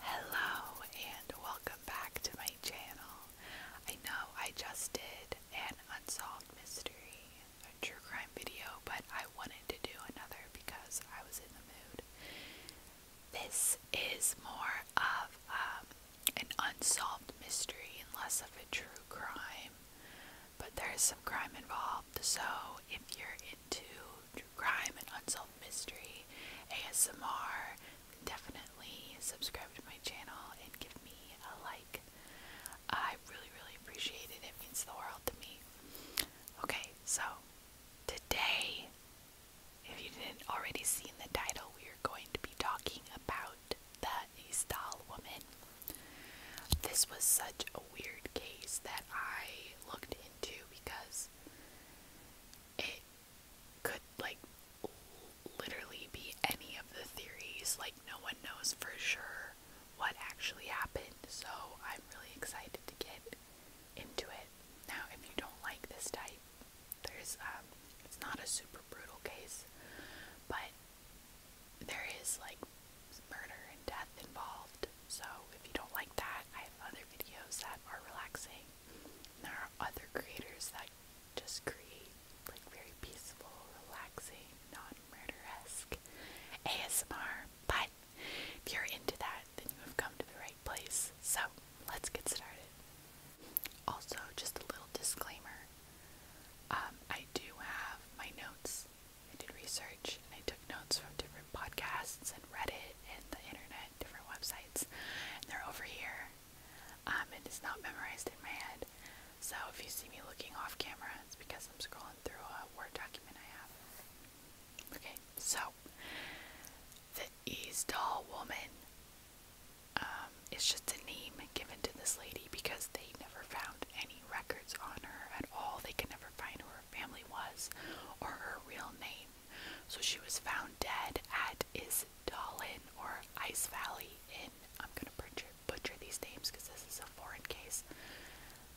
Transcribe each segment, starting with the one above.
Hello and welcome back to my channel. I know I just did an unsolved mystery, a true crime video, but I wanted to do another because I was in the mood. This is more of um, an unsolved mystery and less of a true crime, but there is some crime involved, so if you're into crime and unsolved mystery, ASMR, definitely subscribe to my channel and give me a like. I really, really appreciate it. It means the world to me. Okay, so today, if you didn't already see the title, we are going to be talking about the Istal woman. This was such a weird case that I looked into because it could like literally be any of the theories. Like no one knows for sure what actually happened. So I'm really excited to get into it. Now, if you don't like this type, there's um it's not a super brutal case, but there is like murder and death involved. So if you don't like that, I have other videos that are relaxing there are other creators that just create like very peaceful, relaxing, non murderesque ASMR. But if you're into that, then you have come to the right place. So let's get started. Also, just a little disclaimer. Um, I do have my notes. I did research and I took notes from different podcasts and Reddit and the internet at different websites, and they're over here. Um, it is not memorized in my head, so if you see me looking off camera, it's because I'm scrolling through a Word document I have. Okay, so the Eastall woman um, is just a name given to this lady because they never found any records on her at all. They could never find who her family was or her real name. So she was found dead at Isdalen or Ice Valley in, I'm going to butcher, butcher these names because this is a foreign case,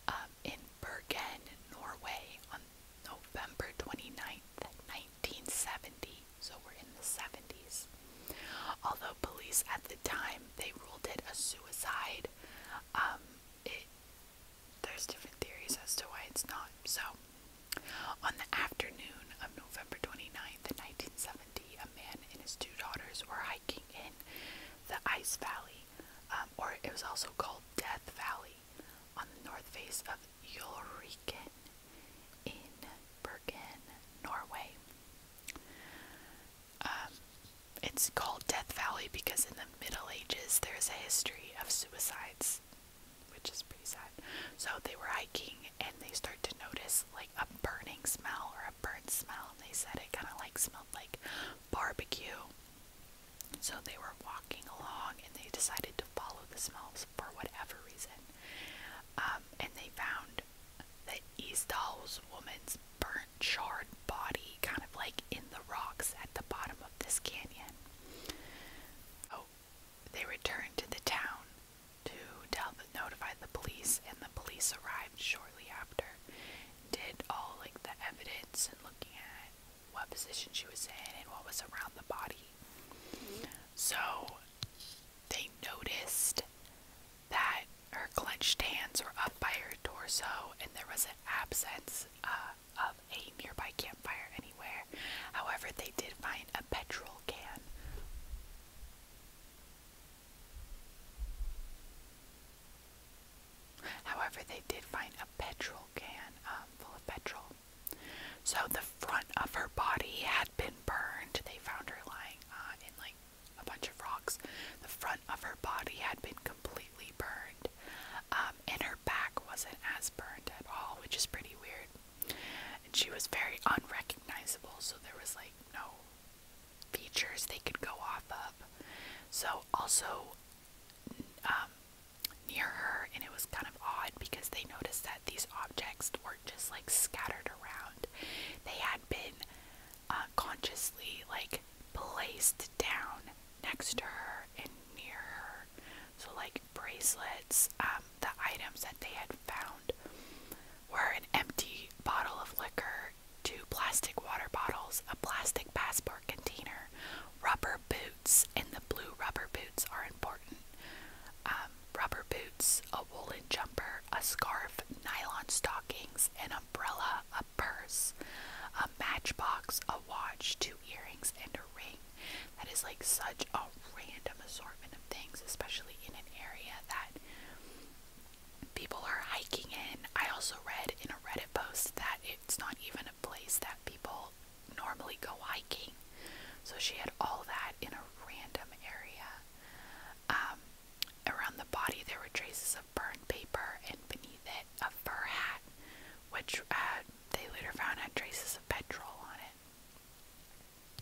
um, in Bergen, Norway on November 29th, 1970. So we're in the 70s. Although police at the time, they ruled it a suicide, um, it there's different theories as to why it's not. So, on the afternoon of November 29th, 1970, a man and his two daughters were hiking in the Ice Valley, um, or it was also called Death Valley, on the north face of Ulriken in Bergen, Norway. Um, it's called Death Valley because in the Middle Ages there's a history of suicides which is pretty sad. So they were hiking and they start to notice like a burning smell or a burnt smell. And they said it kind of like smelled like barbecue. So they were walking along and they decided to follow the smells for whatever reason. Um, and they found the Hall's woman's burnt, charred body kind of like in the rocks at the bottom of this canyon. Oh, they returned to the town to Talbot the police, and the police arrived shortly after. Did all like the evidence and looking at what position she was in and what was around the body. So they noticed that her clenched hands were up by her torso, and there was an absence uh, of a nearby campfire anywhere. However, they did find a petrol can. However, they did find a petrol can um, full of petrol. So the front of her body had been burned. They found her lying uh, in like a bunch of rocks. The front of her body had been completely burned. Um, um, and her back wasn't as burned at all, which is pretty weird. And she was very unrecognizable, so there was like no features they could go off of. So, also um, near her, and it was kind of odd because they noticed that these objects weren't just like scattered around, they had been uh, consciously like placed down next to her and near her. So, like, bracelets, um, the items that they had found were an empty bottle of liquor, two plastic water bottles, a plastic passport container, rubber boots, and the blue rubber boots are important. Um, rubber boots, a woolen jumper, a scarf, nylon stockings, an umbrella, a purse, a matchbox, a watch, two earrings, and a ring. That is like such a random assortment of things, especially in an area that people are hiking in. I also read in a Reddit post that it's not even a place that people normally go hiking. So she had all that in a random area. Um, around the body, there were traces of burned paper, and beneath it, a fur hat, which uh, they later found had traces of petrol on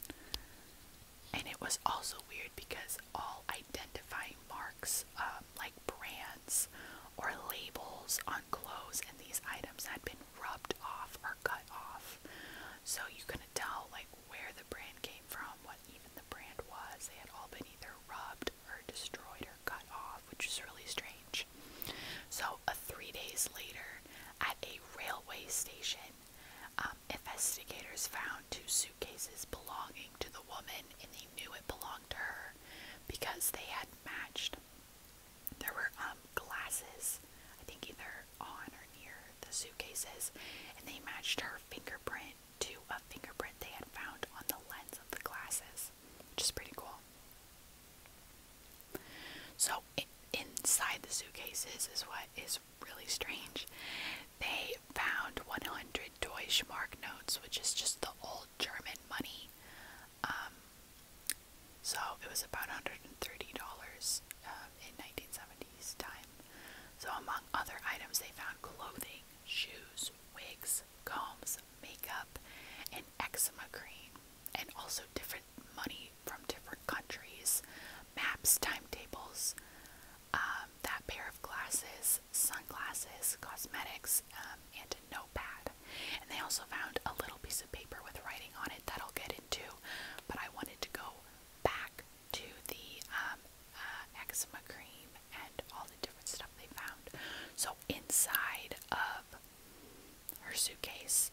it. And it was also weird because all identifying marks, um, like brands or labels on clothes and these items, had been rubbed off or cut off. So you couldn't tell, like, where the brand came from, what even the brand was. They had all been either rubbed or destroyed or cut off which is really strange. So, uh, three days later, at a railway station, um, investigators found two suitcases belonging to the woman, and they knew it belonged to her because they had matched. There were um, glasses, I think either on or near the suitcases, and they matched her fingerprint to a fingerprint they had found on the lens of the glasses, which is pretty cool. So inside the suitcases is what is really strange. They found 100 Mark notes, which is just the old German money. Um, so it was about $130 um, in 1970s time. So among other items, they found clothing, shoes, wigs, combs, makeup, and eczema cream, and also different different money from different countries, maps, timetables, um, that pair of glasses, sunglasses, cosmetics, um, and a notepad. And they also found a little piece of paper with writing on it that I'll get into, but I wanted to go back to the um, uh, eczema cream and all the different stuff they found. So inside of her suitcase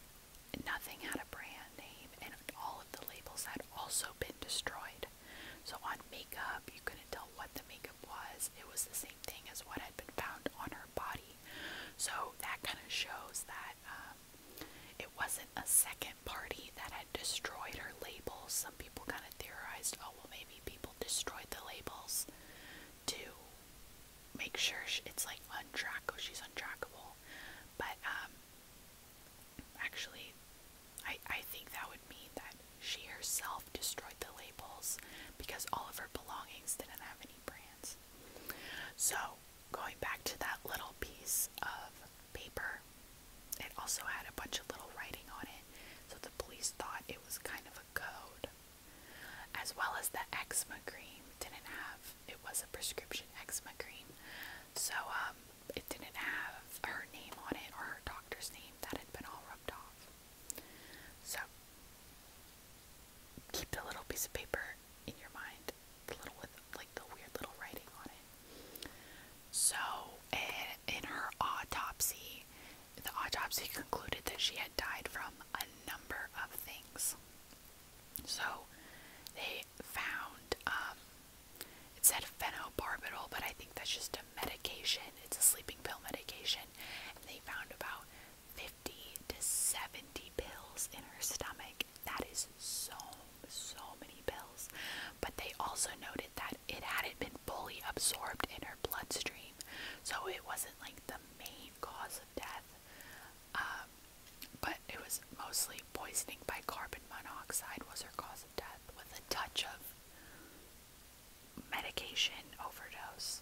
Nothing had a brand name, and all of the labels had also been destroyed. So, on makeup, you couldn't tell what the makeup was. It was the same thing as what had been found on her body. So, that kind of shows that um, it wasn't a second party that had destroyed her labels. Some people kind of theorized, oh, well, maybe people destroyed the labels to make sure she, it's like untrackable. She's untrackable. But um, actually, I I think that would mean that she herself destroyed the labels because all of her belongings didn't have any brands. So going back to that little piece of paper, it also had a bunch of little writing on it. So the police thought it was kind of a code as well as the eczema cream didn't have it was a prescription eczema cream so um, it didn't have her name on it or her doctor's name that had been all rubbed off so keep the little piece of paper in your mind the little with like the weird little writing on it so in her autopsy the autopsy concluded that she had died from a number of things so they found um, it said phenobarbital, but I think that's just a medication. It's a sleeping pill medication. And they found about 50 to 70 pills in her stomach. That is so, so many pills. But they also noted that it hadn't been fully absorbed in her bloodstream. So it wasn't like the main cause of death. Um, but it was mostly poisoning by carbon monoxide was her cause of death, with a touch of medication overdose.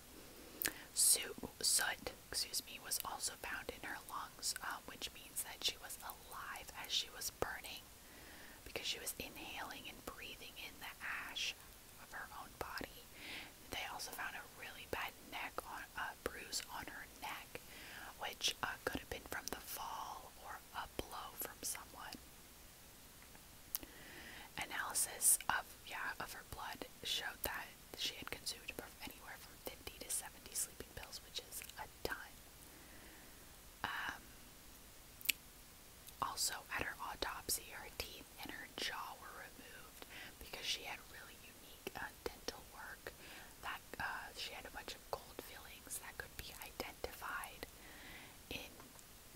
Soot, soot, excuse me, was also found in her lungs, um, which means that she was alive as she was burning, because she was inhaling and breathing in the ash of her own body, they also found a really bad neck a bruise on her neck, which uh, could have been from the fall or a blow from someone. Analysis of yeah of her blood showed that she had consumed anywhere from 50 to 70 sleeping pills, which is a ton. Um, also, at her autopsy, her teeth and her jaw were removed because she had really unique uh, dental work that uh, she had a bunch of gold fillings that could be identified in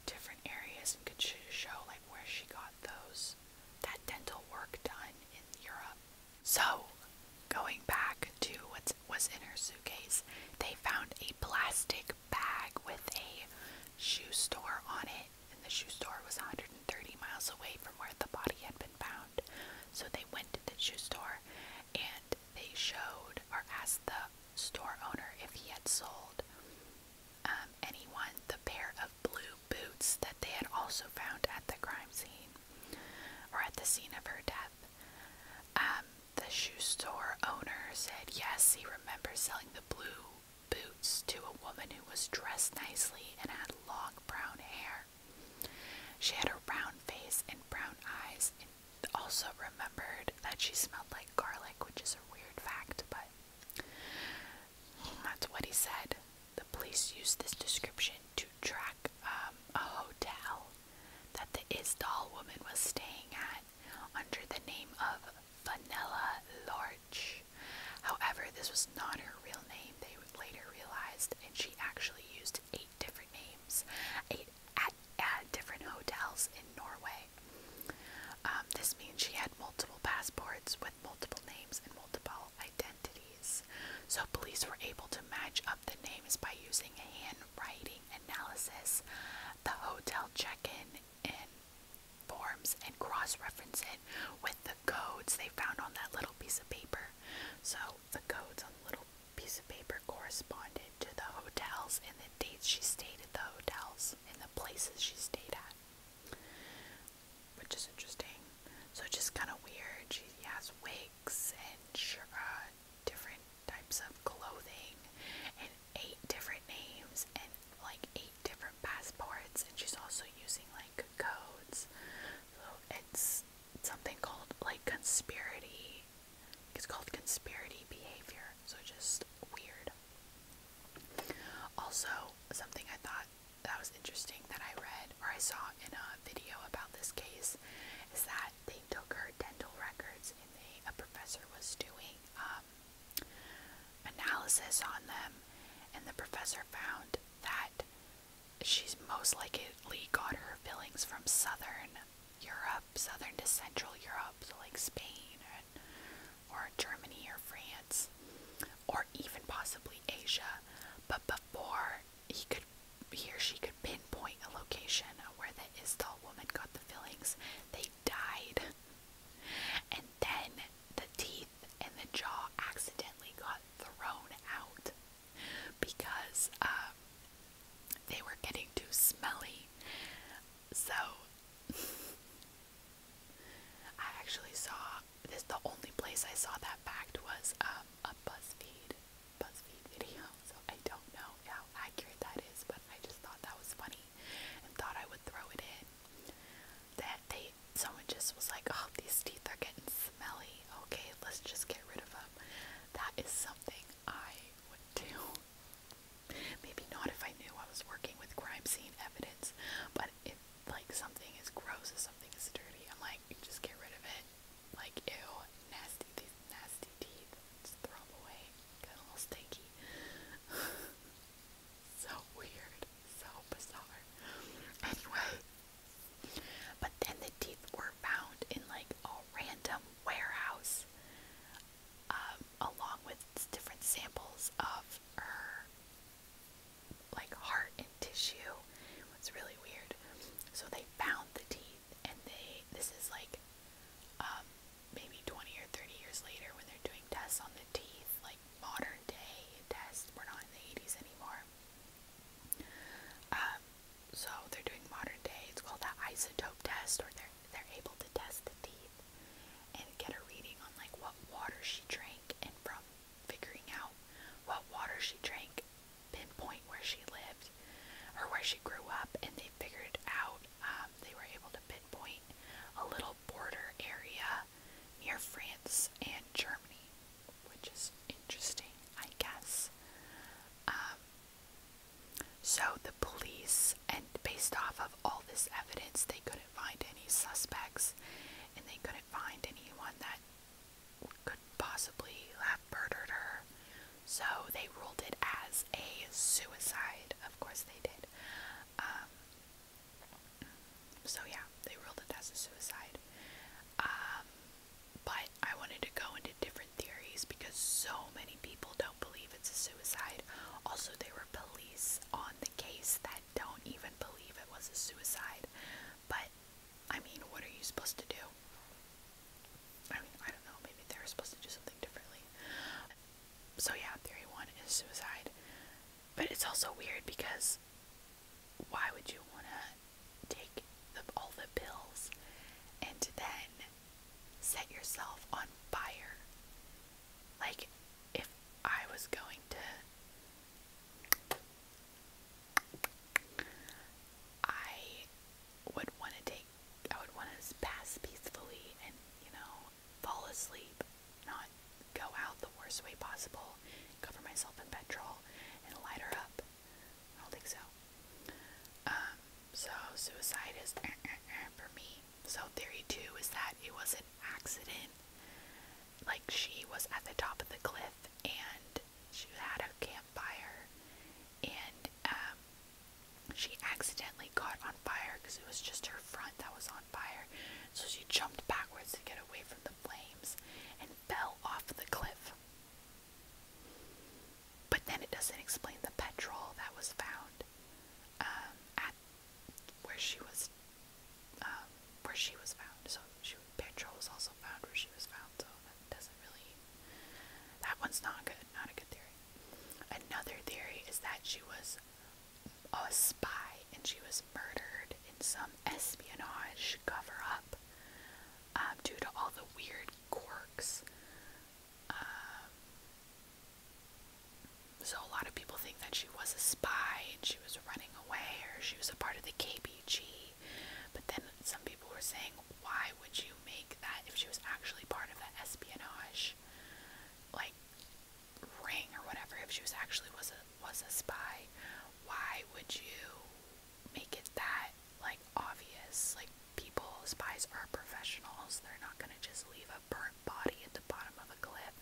different areas and could show like where she got those that dental work done in Europe. So, going back to what was in her suitcase, they found a plastic bag with a shoe store on it and the shoe store was 130 miles away from where the body had been found. So they went to the shoe store and they showed or asked the store owner if he had sold um, anyone the pair of blue boots that they had also found at the crime scene or at the scene of her death. Um, the shoe store owner said yes, he remembers selling the blue boots to a woman who was dressed nicely and had long brown hair. She had a round face and brown eyes, and also remembered that she smelled like garlic, which is a weird fact, but that's what he said. The police used this description to track um, a hotel that the Isdal woman was staying at under the name of Vanilla Laura. However, this was not her real name, they later realized, and she actually used eight different names eight at, at different hotels in Norway. Um, this means she had multiple passports with multiple names and multiple identities. So, police were able to match up the names by using handwriting analysis, the hotel check in, and forms and cross reference it with the the codes they found on that little piece of paper. So the codes on the little piece of paper corresponded to the hotels and the dates she stayed at the hotels and the places she stayed at. Which is interesting. So just kind of weird. She has wigs and uh, different types of clothing and eight different names and like eight different passports and she's also using like codes. So it's something called like conspiracy. It's called conspiracy behavior. So just weird. Also, something I thought that was interesting that I read or I saw in a video about this case is that they took her dental records and they a professor was doing um analysis on them and the professor found that she's most likely got her fillings from southern Europe, southern to central Europe, like Spain or Germany or France, or even possibly Asia. But before he could, he or she could pinpoint a location where the Istal woman got the fillings, they died. And then the teeth and the jaw accidentally got thrown out because um, they were getting too smelly. So, I actually saw this, the only place I saw that fact was um, a BuzzFeed, BuzzFeed video. So, I don't know how accurate that is, but I just thought that was funny and thought I would throw it in. That they someone just was like, "Oh, these teeth are getting smelly. Okay, let's just get rid of them." That is something I would do. Maybe not if I knew I was working with crime scene evidence, but if like something is gross or something is dirty, I'm like, just get rid of it. Like, ew, nasty, these nasty teeth. Just throw them away. Got a stinky. So weird, so bizarre. Anyway, but then the teeth were found in like a random warehouse, um, along with different samples of her like heart and tissue. It was really weird. So they found the teeth, and they this is like um, maybe 20 or 30 years later when they're doing tests on the teeth, like modern day tests. We're not in the 80s anymore. Um, so they're doing modern day. It's called the isotope test, or they're they're able to test the teeth and get a reading on like what water she drank, and from figuring out what water she drank, pinpoint where she lived or where she grew up, and they figured out um, they were able to pinpoint a little border area near France and Germany which is interesting, I guess. Um, so the police, and based off of all this evidence, they couldn't find any suspects, and they couldn't find anyone that could possibly have murdered her. So they ruled it as a suicide. Of course, they did. Um, so yeah, they ruled it as a suicide. Um, but I wanted to go into different theories because so many people don't believe it's a suicide. Also, there were police on the case that don't even believe it was a suicide. But I mean, what are you supposed to do? I mean, I don't know, maybe they were supposed to do something differently. So, yeah, theory one is suicide. But it's also weird because why would you want to take all the pills and then set yourself on fire? Like, if I was going to. I would want to take. I would want to pass peacefully and, you know, fall asleep not go out the worst way possible, cover myself in petrol, and light her up. I don't think so. Um, so suicide is eh, eh, eh, for me. So theory two is that it was an accident. Like she was at the top of the cliff and she had a campfire, and um, she accidentally got on fire because it was just her front that was on on fire, so she jumped backwards to get away from the flames and fell off the cliff. But then it doesn't explain the petrol that was found um, at where she was um, where she was found. So she, petrol was also found where she was found. So that doesn't really that one's not good. Not a good theory. Another theory is that she was a spy and she was murdered in some espionage cover up um, due to all the weird quirks. Um, so, a lot of people think that she was a spy and she was running away or she was a part of the KPG. But then some people were saying, why would you make that if she was actually part of that espionage? Like, ring or whatever if she was actually was a was a spy, why would you make it that like obvious? Like people, spies are professionals. They're not gonna just leave a burnt body at the bottom of a cliff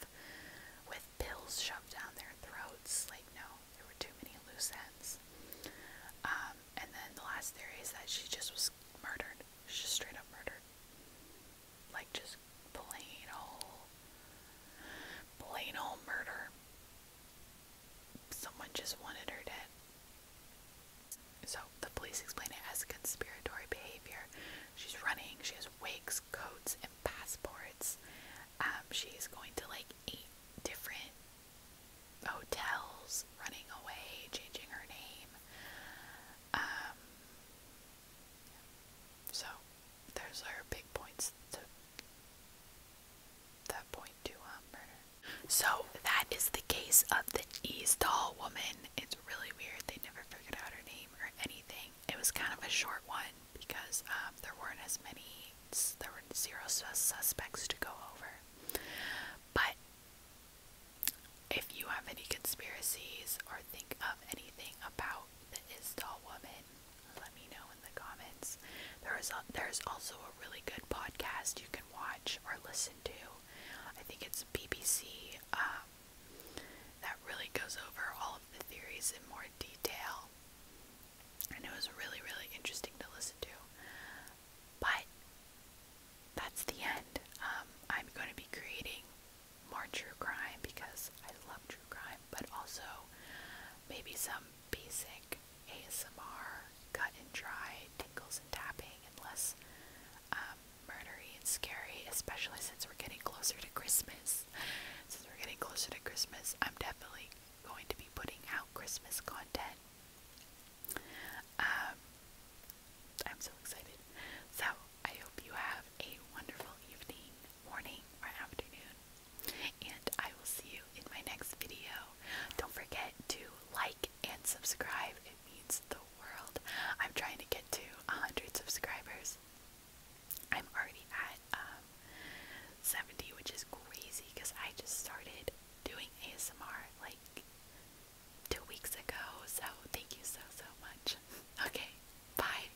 with pills shoved down their throats. Like no, there were too many loose ends. Um, and then the last theory is that she just was murdered. She just straight up murdered. Like just plain old Plain old murder. Someone just wanted her dead. So the police explain it as conspiratory behavior. She's running, she has wigs, coats, and passports. Um, she's going to like eight different hotels, running away, changing her name. Um, so those are big points that point to um, So that is the case of the Doll woman. It's really weird. They never figured out her name or anything. It was kind of a short one because um, there weren't as many. There were zero sus suspects to go over. But if you have any conspiracies or think of anything about the Isdal woman, let me know in the comments. There is a, there's also a really good podcast you can watch or listen to. I think it's BBC um, that really goes over all of the theories in more detail. And it was really, really interesting to listen to. But that's the end. Um, I'm going to be creating more true crime because I love true crime but also maybe some basic ASMR cut and dry tingles and tapping and less um, murdery and scary, especially since we're getting closer to Christmas. Since we're getting closer to Christmas, I'm definitely going to be putting out Christmas content. Um, I'm so excited. So, I hope you have a wonderful evening morning, or afternoon. And I will see you in my next video. Don't forget to like and subscribe, it means the world. I'm trying to get to 100 subscribers. I'm already at um, 70, which is crazy because I just started doing ASMR like two weeks ago. So, thank you so, so much. Okay, bye.